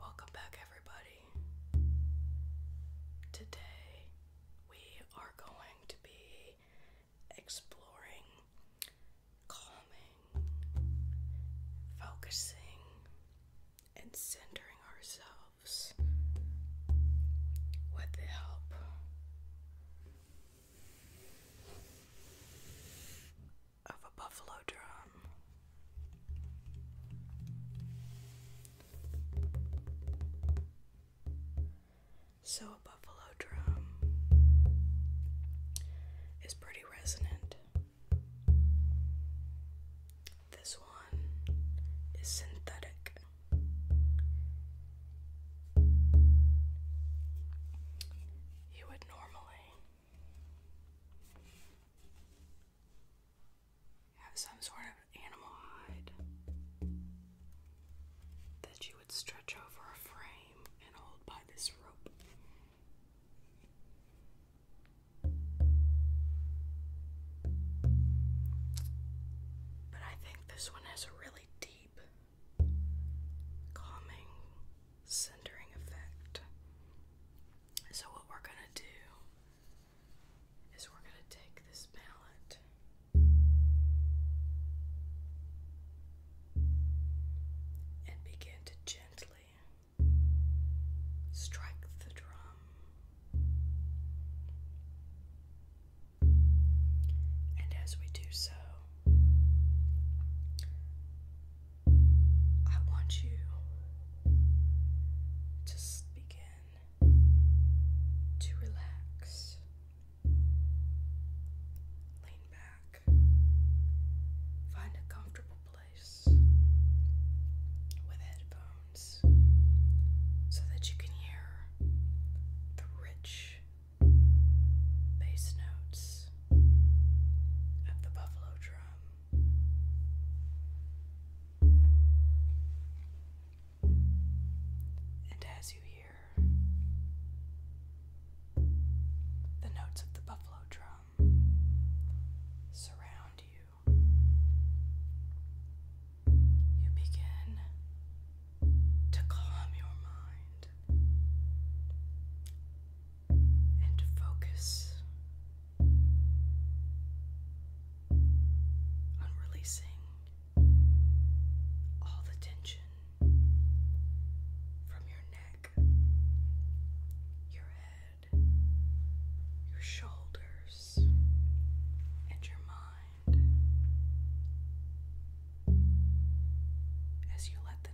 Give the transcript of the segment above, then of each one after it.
Welcome back, everybody. Today we are going to be exploring calming, focusing, and centering ourselves with the help of a buffalo drum. So, a buffalo drum is pretty resonant. This one is synthetic. You would normally have some sort of animal hide that you would stretch over a frame and hold by this rope. But I think this one has a really deep, calming, centering effect. So, what we're going to do is we're going to take this mallet. And begin to gently Strike the drum. And as we do so, I want you to begin to relax. Lean back. Find a comfortable place with headphones so that you can hear the rich bass notes of the buffalo drum. And as you hear the notes of the buffalo drum surround you. You begin to calm your mind and focus on releasing all the tension from your neck your head, your shoulders, and your mind. As you let the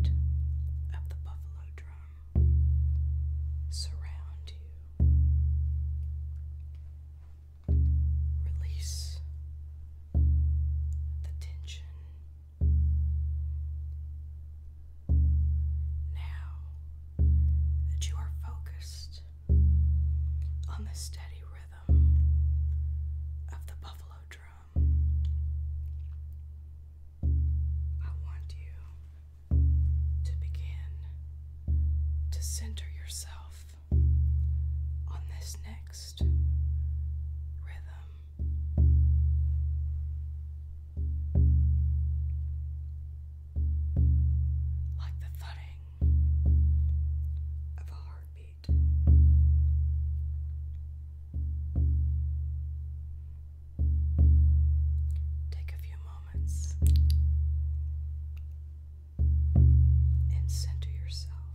note of the buffalo drum surround you, release the tension now that you are focused on the steady rhythm of the buffalo drum, I want you to begin to center yourself on this neck relaxed like the thudding of a heartbeat. Take a few moments and center yourself.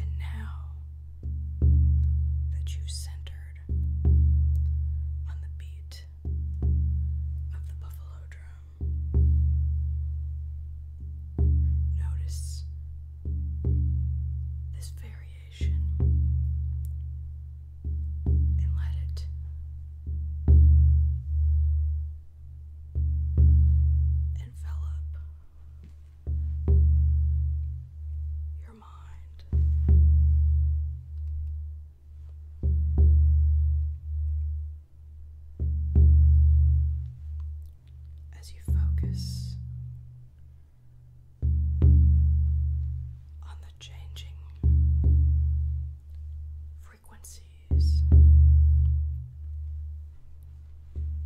And now that you've centered hard on the beat of the buffalo drum. Notice this variation and let it. Envelop your your mind. As you focus on the changing frequencies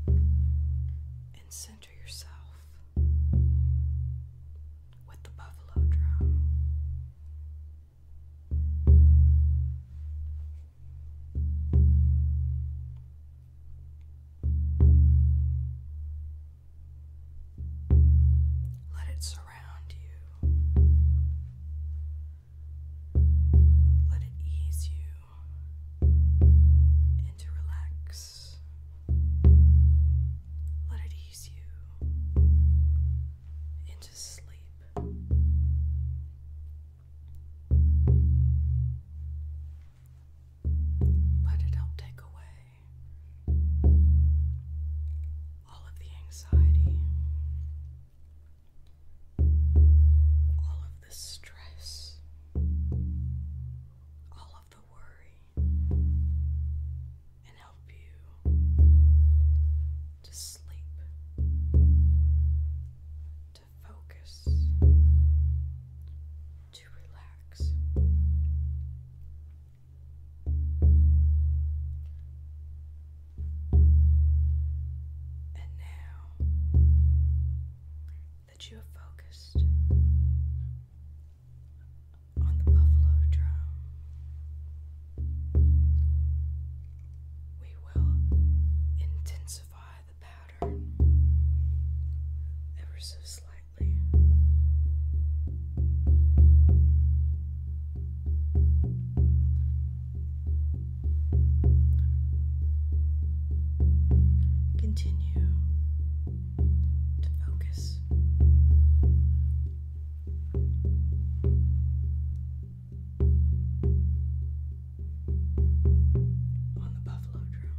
and sounds center yourself with the buffalo drum. Let it surround you. Let it ease you into relax. Let it ease you into sleep. Let it help take away all of the anxiety, all of the stress, all the worry and help you to sleep, to focus, to relax. And now that you have focused on the buffalo drum. We will intensify the pattern ever so slightly. Continue to focus. On the buffalo drum.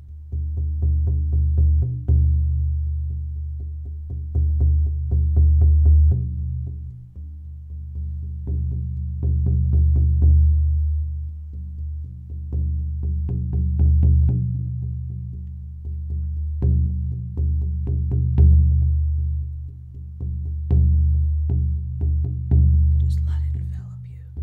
Just let it envelop you.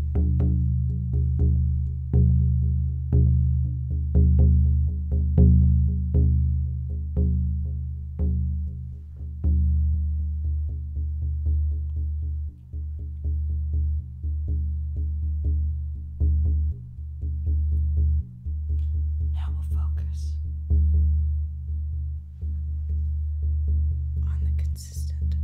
Now we'll focus on the consistent,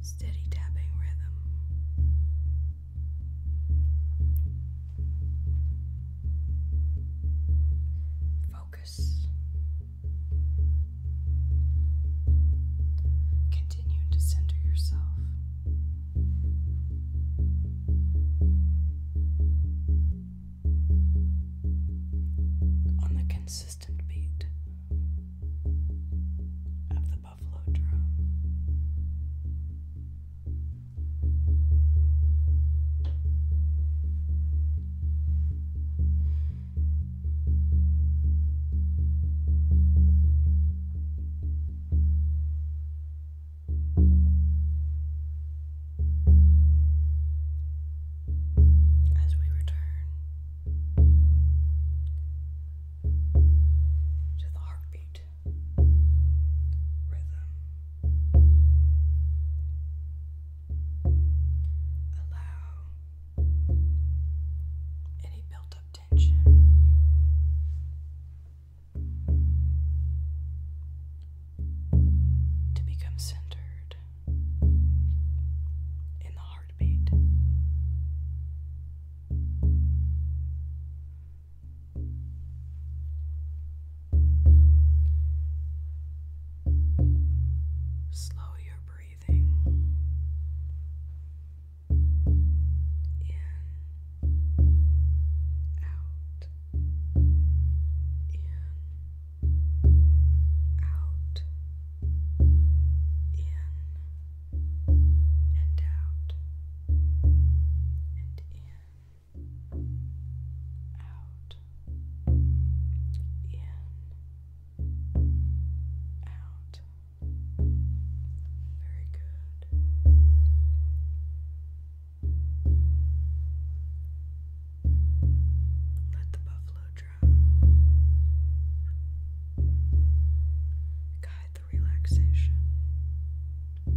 steady tapping rhythm. Focus. Continue to center yourself on the consistent beat of the buffalo drum as we return to the heartbeat rhythm. Allow any built up tension to become centered in the heartbeat. Slow your breathing in out, in, out, in, and out, and in, out, in, out. Very good. Let the buffalo drum guide the relaxation. Let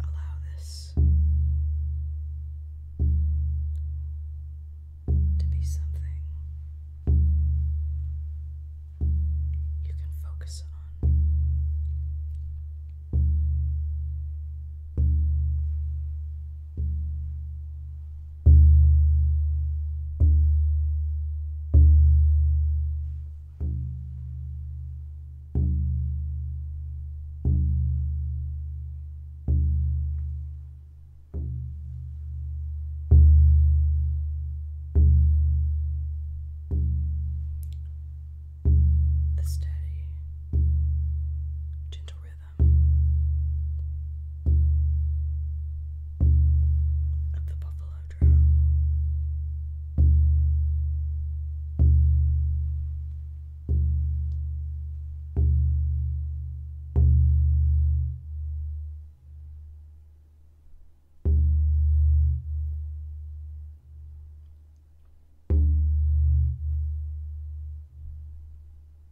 allow this to be something you can focus on. The steady, gentle rhythm of the buffalo drum.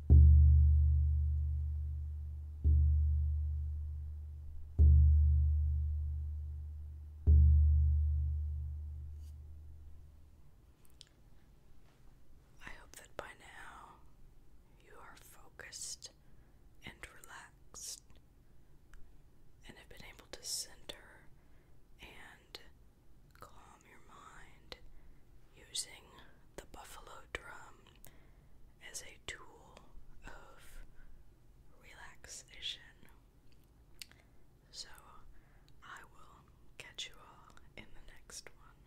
I hope that by now you are focused and relaxed and have been able to center and calm your mind using the buffalo drum as a tool of relaxation. So, I will catch you all in the next one.